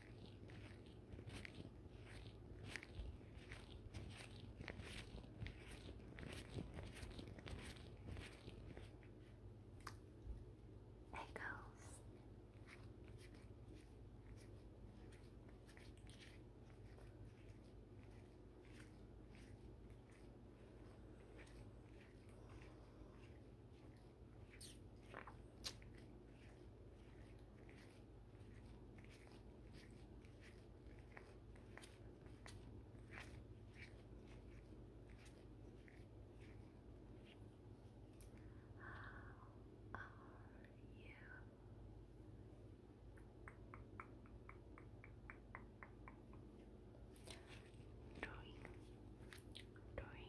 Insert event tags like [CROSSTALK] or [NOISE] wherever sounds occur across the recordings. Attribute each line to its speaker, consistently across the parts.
Speaker 1: Echoes. How are you? Doing, doing,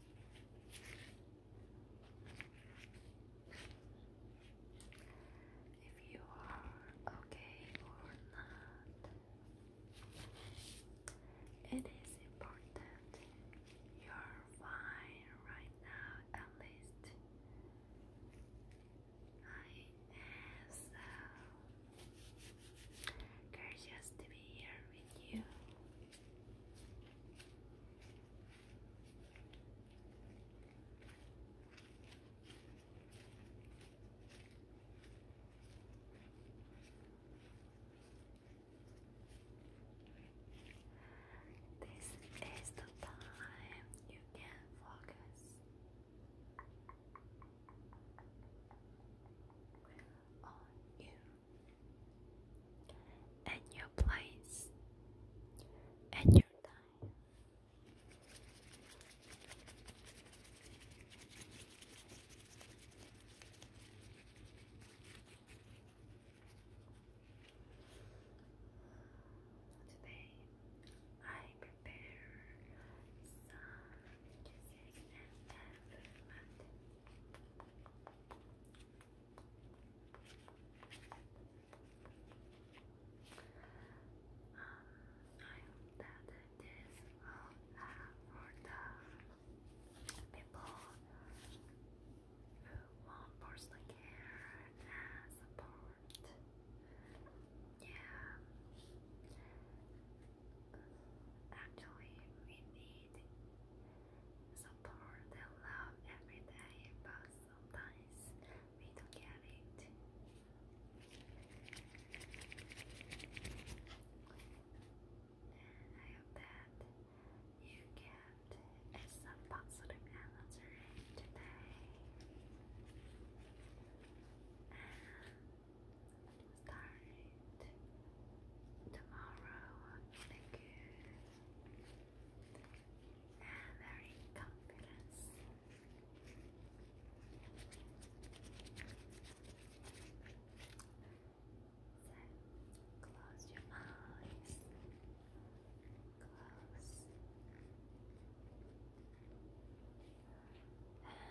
Speaker 1: if you are okay or not. It is important you're fine right now, at least. I am so Gorgeous to be here with you. This is the time you can focus on you and your place and your time. Today I prepare some people who want personal care and support. Yeah. Actually, we need support and love every day, but sometimes we don't get it. I hope that you get some positive energy today start tomorrow in a good and very confidence. close your eyes. Close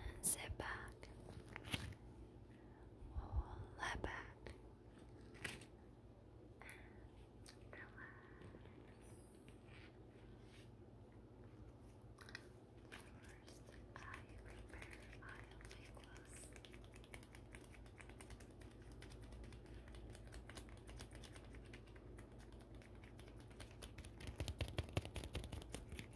Speaker 1: and sit back, lie back, and relax. First, I prepare my only clothes.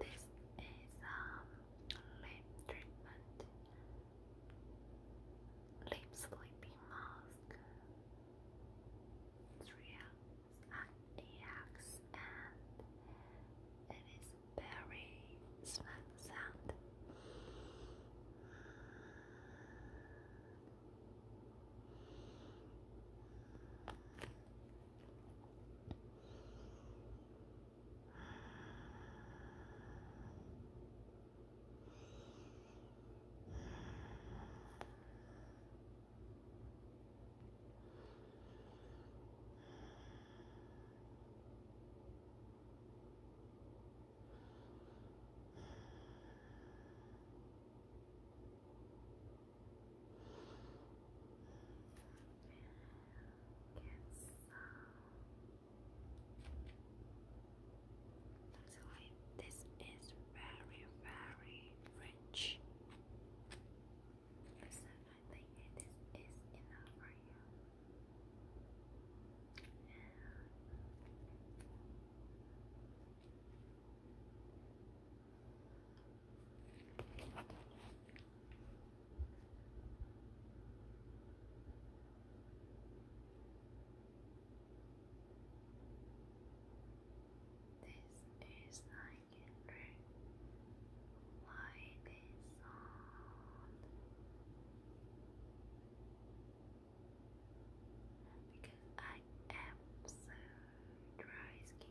Speaker 1: This is um lip treatment, lip sleeping mask. 3x and it is very small sound. Get some so this is very, very rich. So I think this enough for you. This is like a Why this sound? Because I am so dry skin.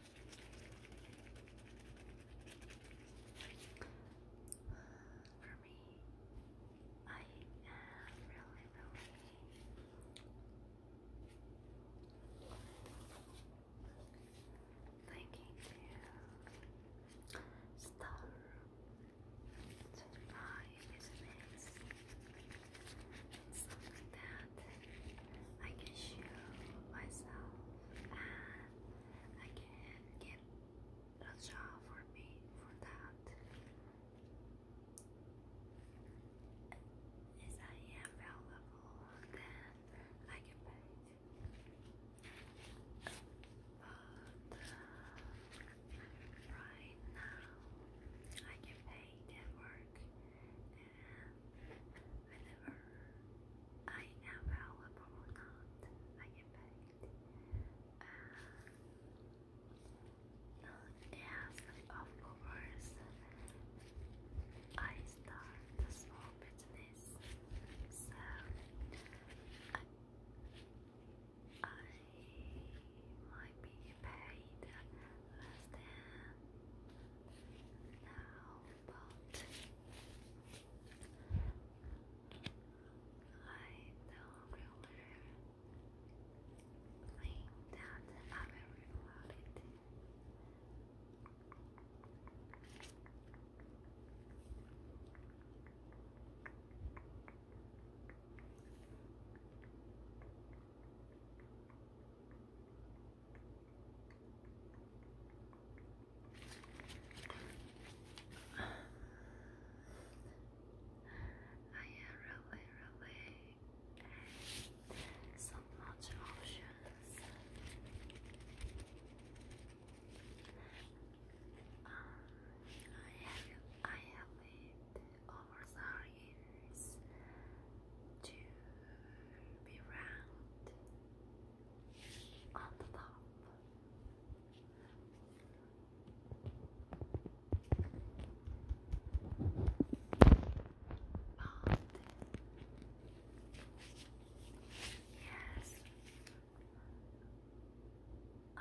Speaker 1: For me, I am really, really thinking to start to buy business. It's something that I can show myself and I can get a job for me for that. If I am available, then I can pay But uh, right now, I can pay that work. Whenever I am available or not, I get paid. Uh, yes, of course, I start a small business, so I might be paid less than now thought. I don't really think that I will reward it. I have really, really so much options. Um, I have I have lived over the years to be around on the top. Yes,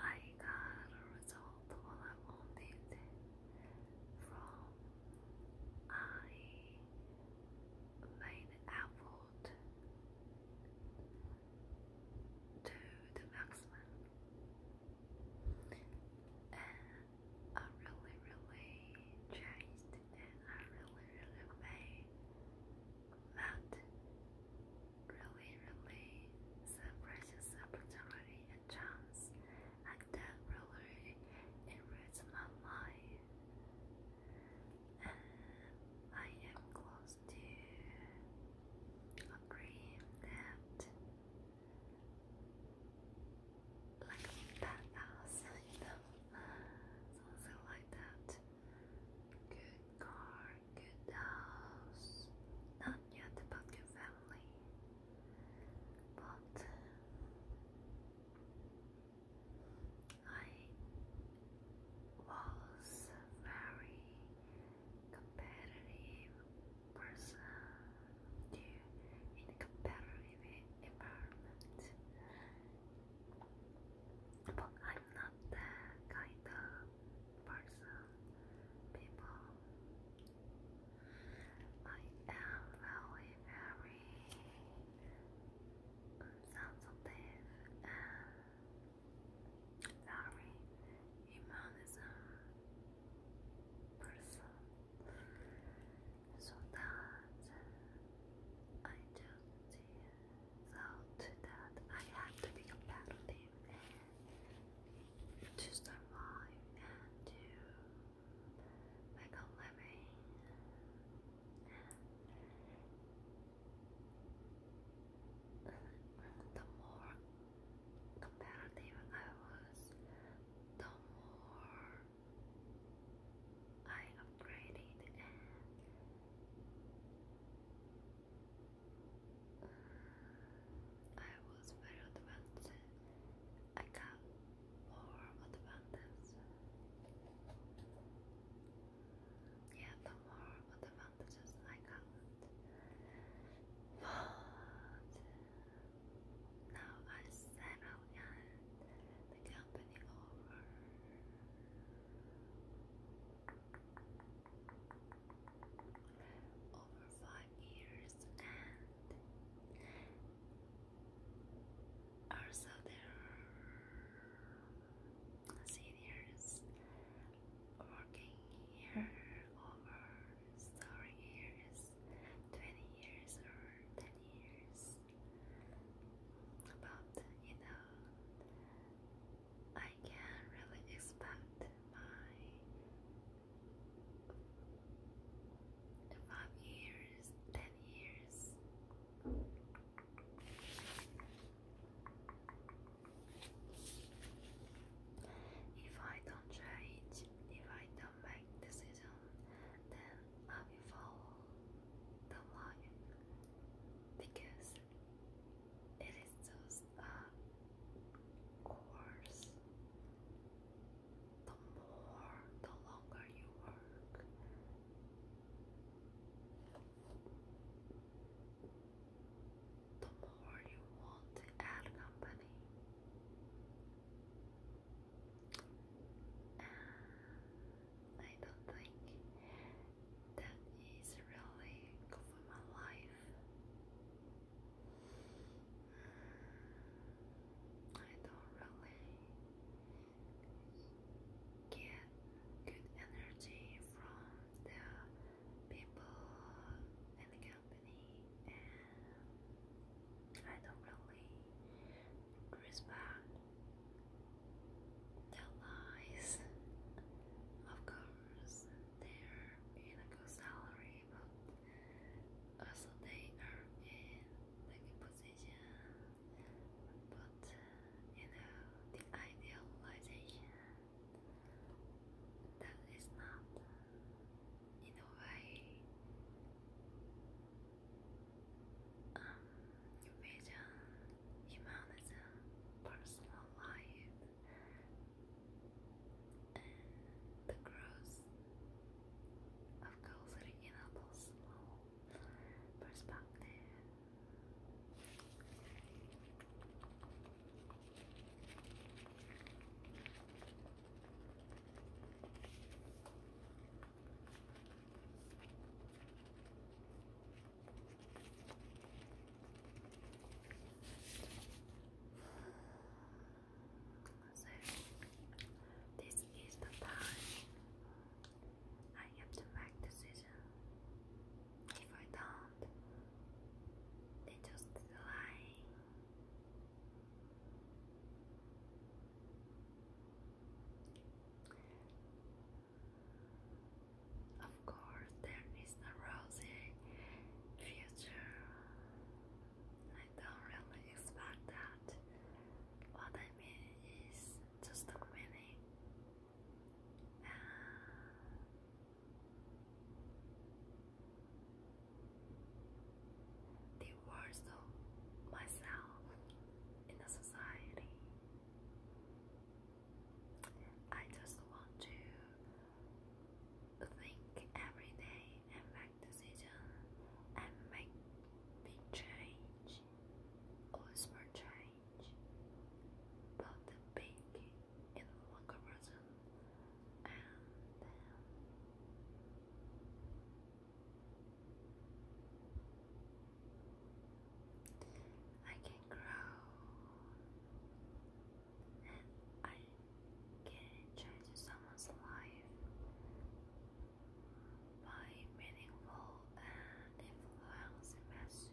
Speaker 1: I got a result what I wanted from I lane outward to the maximum. And I really, really changed and I really, really made that really, really some precious opportunity and chance and that really enriched my life I am close to agreeing that like badass, [LAUGHS] you know, something like that. Good car, good house, not yet about your family, but I was very competitive person to in competitive environment. But I'm not the kind of person people I am very, very sensitive and very humanism person. So that I just thought that I had to be competitive to survive and to Michael Lemmy. The more competitive I was, the more I upgraded and I was very advanced I got more advantages. Yeah, the more advantages I got. But now I settle and the company over. Over five years, and also, there are seniors working here over story years, 20 years or 10 years. But you know, I can really expect my Five years, ten years. If I don't change, if I don't make decisions, then I will follow the line because it is just a course the more, the longer you work, the more you want to add company. I don't think that is really for my life. I don't really get good energy from the people in company, and I don't really respect the lies. Of course, they're in a good salary came Also, they are in like position, but you know, the idealization that is not in a way um, vision, humanism, personal life the growth of culture enables small perspective. So, this is the time I have to make decision. If I don't, they just lie. Of course, there is a rosy future I don't really expect that. What I mean is just a meaning. Uh, myself in the society. I just want to think every day and make decisions and make big change or small change. But the big in local person and um, I can grow I can change someone's life by meaningful and influencing message.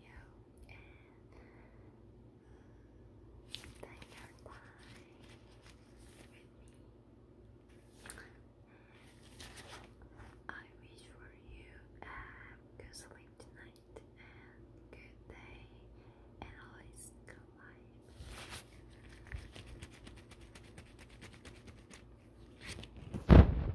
Speaker 1: thank you I wish for you a good sleep tonight and good day and always good life.